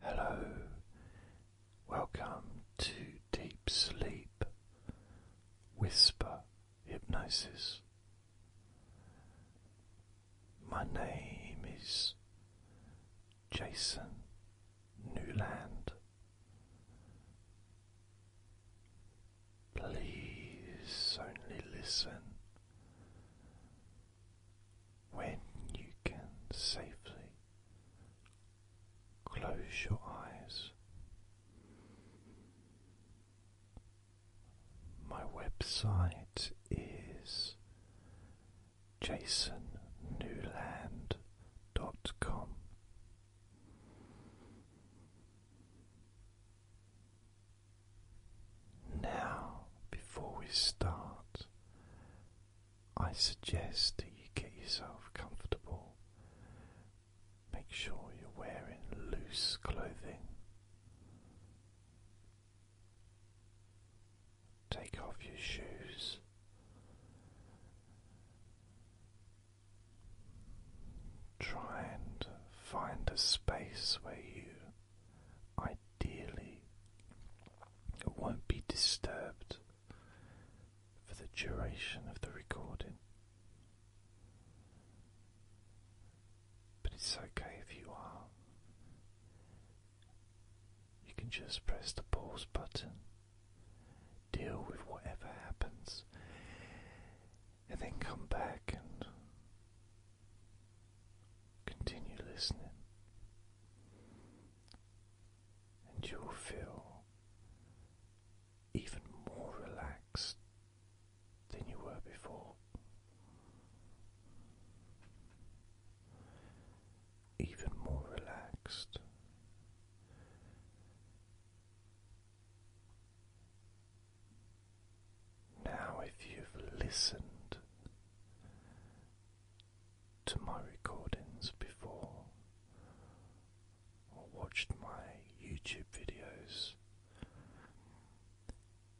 Hello, welcome to Deep Sleep Whisper Hypnosis. My name is Jason Newland. Please only listen when you can safely close your eyes. My website is jasonnewland.com. Now, before we start, I suggest that you get yourself comfortable. Make sure you're wearing loose clothing. Take off your shoes. Try and find a space where you Dearly, it won't be disturbed for the duration of the recording. But it's okay if you are. You can just press the pause button, deal with whatever happens, and then come back and Continue listening, and you'll feel even more relaxed than you were before. Even more relaxed. Now, if you've listened to my recordings before or watched my YouTube videos,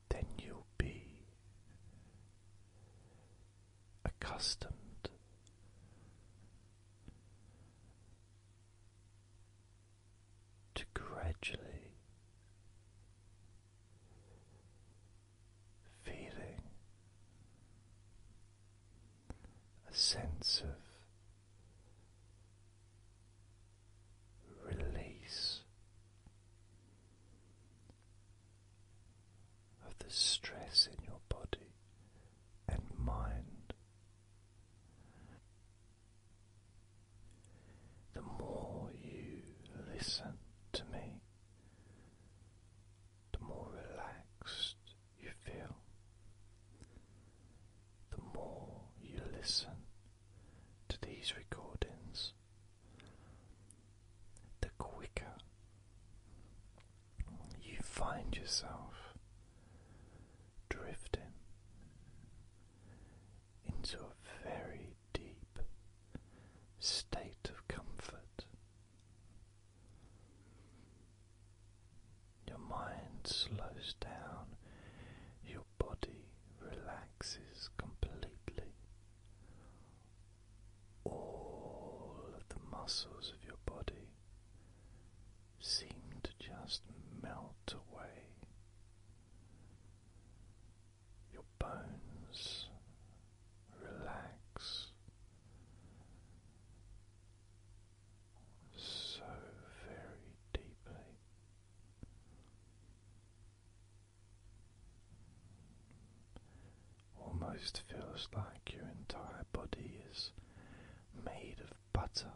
then you'll be accustomed to gradually feeling a sense of release of the stress in your body and mind the more you listen to me, the more relaxed you feel. The more you listen to these recordings, the quicker you find yourself drifting into a very deep state of comfort. Your mind slows down, your body relaxes completely. All of the muscles of your body seem to just melt away your bones relax so very deeply. Almost feels like your entire body is made of butter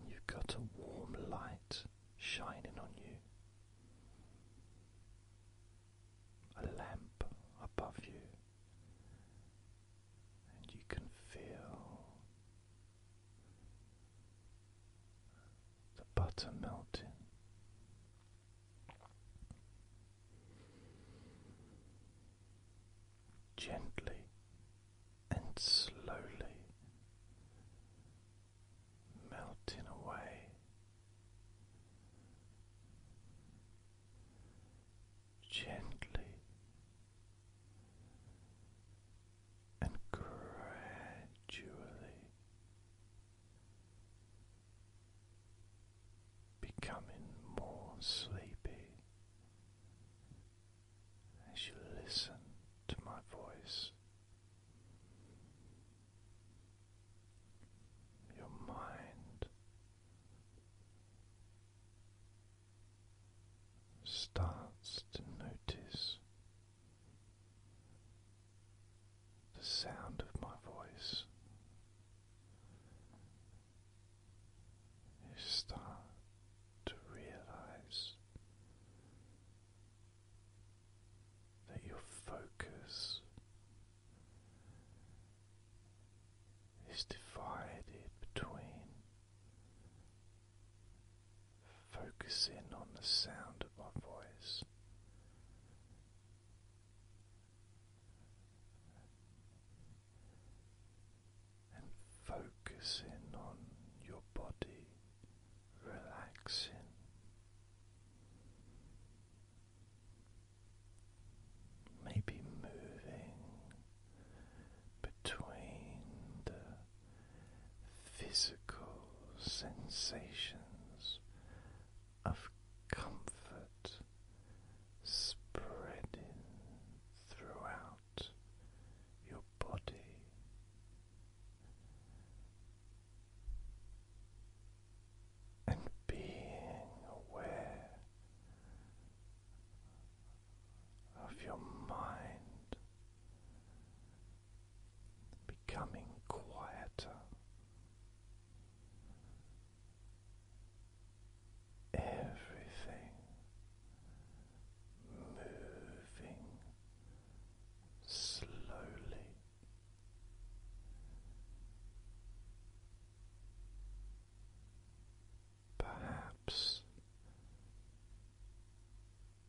and you've got a warm light shining on you, a lamp above you, and you can feel the butter melting gently and slowly melting away. Gently and gradually becoming more sleepy as you listen to my voice. Your mind starts to notice the sound of my voice you start to realize that your focus is divided between focusing on the sound of my voice and focusing on your body relaxing. Maybe moving between the physical sensations of comfort spreading throughout your body. And being aware of your mind becoming quieter everything moving slowly. Perhaps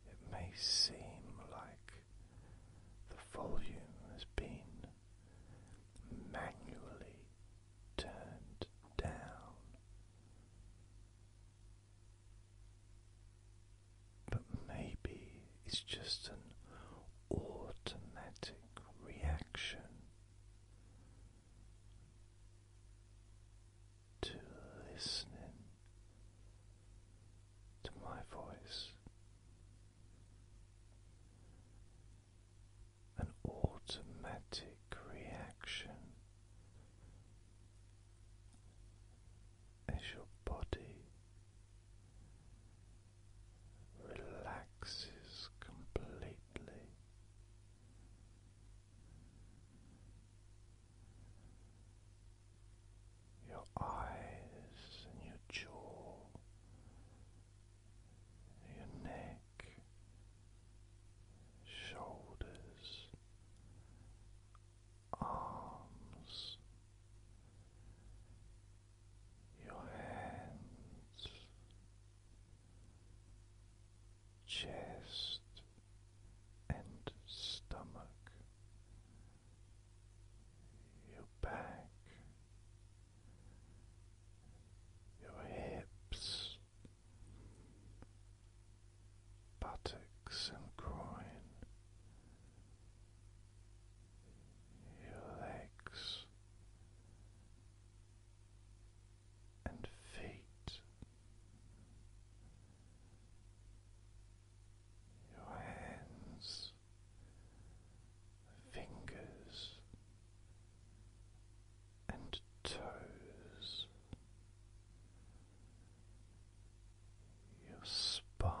it may seem like the volume has been manually turned down. But maybe it's just an automatic reaction to listening to my voice an automatic reaction as your body relaxes completely. Your eyes and your jaw your neck, shoulders, arms, your hands, chest and stomach, your back your hips, buttocks, and groin, your legs and feet, your hands fingers and toes, your spine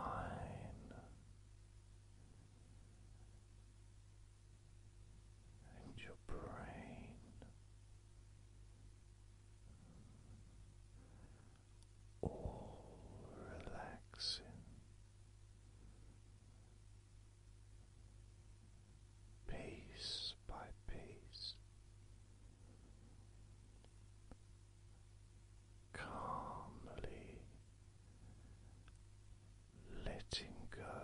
and your brain. All relaxing piece by piece, calmly letting go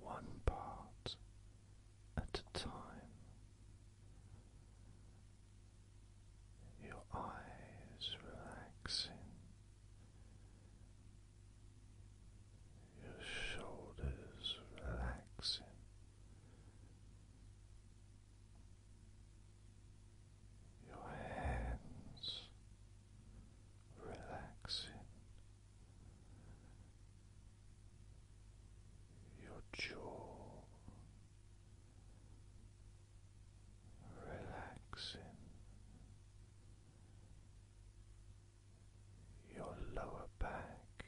one part at a time your eyes relaxing, your shoulders relaxing. Your hands relaxing, your jaw relaxing your lower back,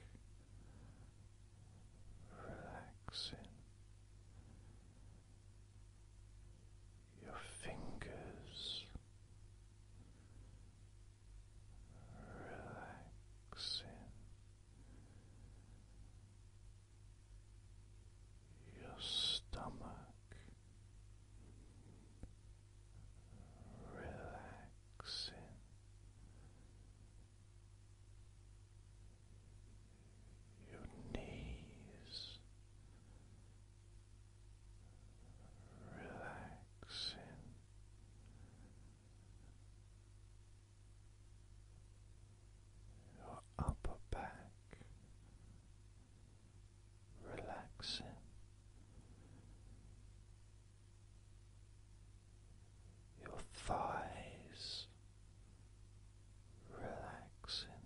relaxing your fingers, relaxing your stomach relaxing. Your knees relaxing, your upper back relaxing. Your thighs relaxing,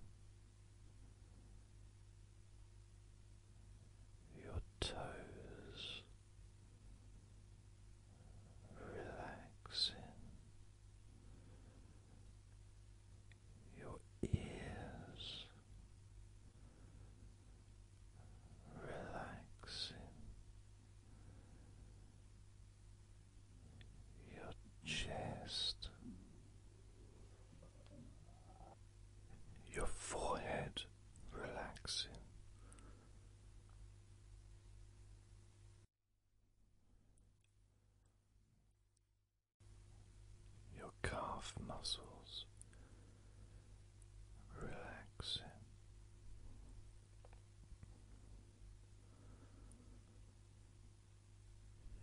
your toes relaxing, your ears relaxing. Your chest, your forehead relaxing, your calf muscles relaxing.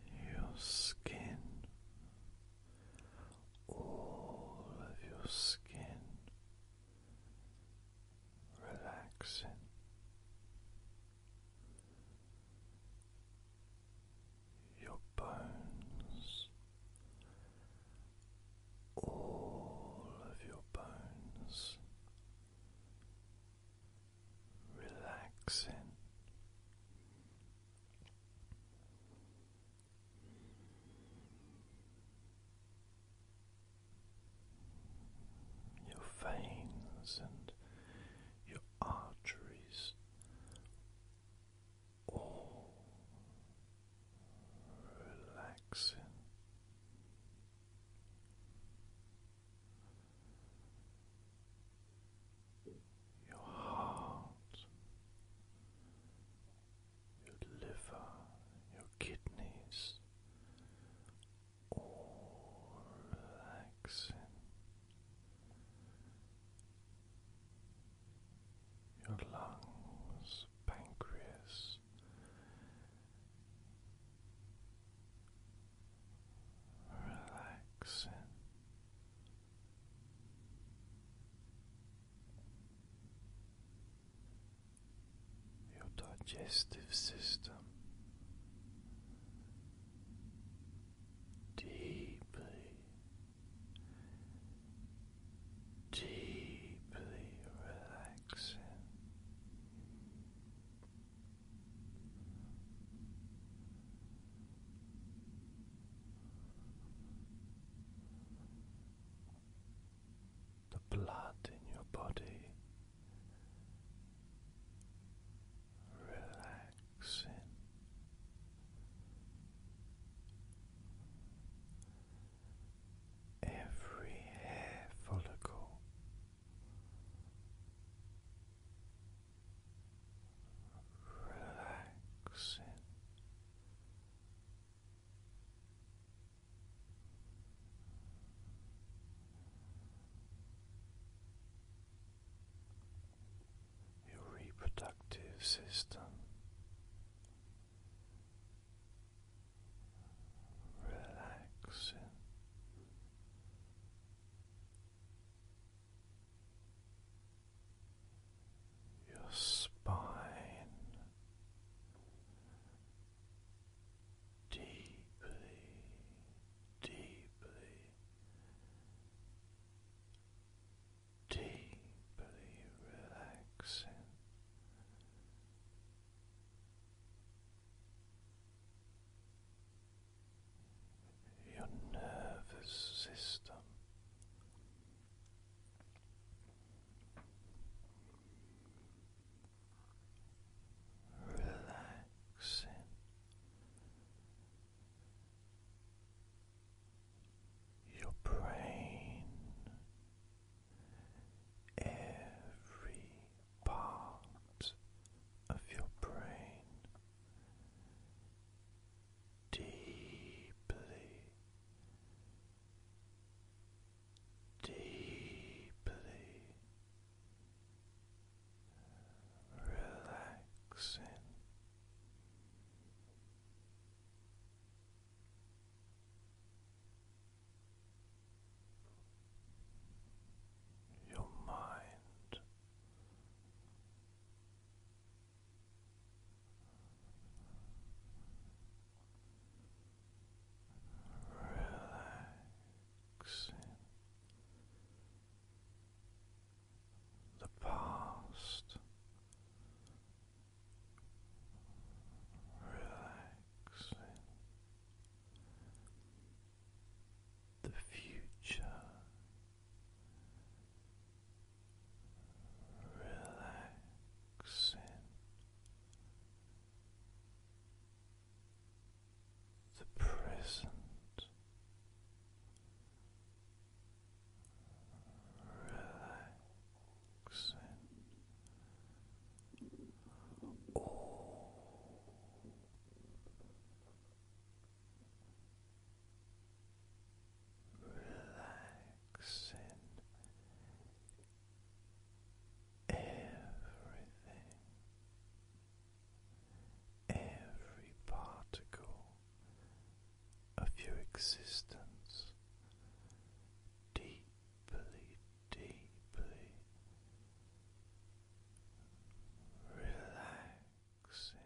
Your skin, all of your skin relaxing, your bones, all of your bones relaxing your veins and your arteries all relaxing. Your heart, your liver, your kidneys all relaxing. Your lungs, pancreas, relaxing your digestive system deeply, deeply relaxing. The blood in your body relaxing. Every hair follicle relaxing, your reproductive system relaxing. Your spine deeply, deeply, deeply relaxing. Your nervous system relaxing. Your brain, every part of your brain deeply deeply relaxing. Your mind relaxing the past, relaxing the future. Relaxing the present. Relaxing all relaxing everything, every particle of your existence deeply, deeply relaxing.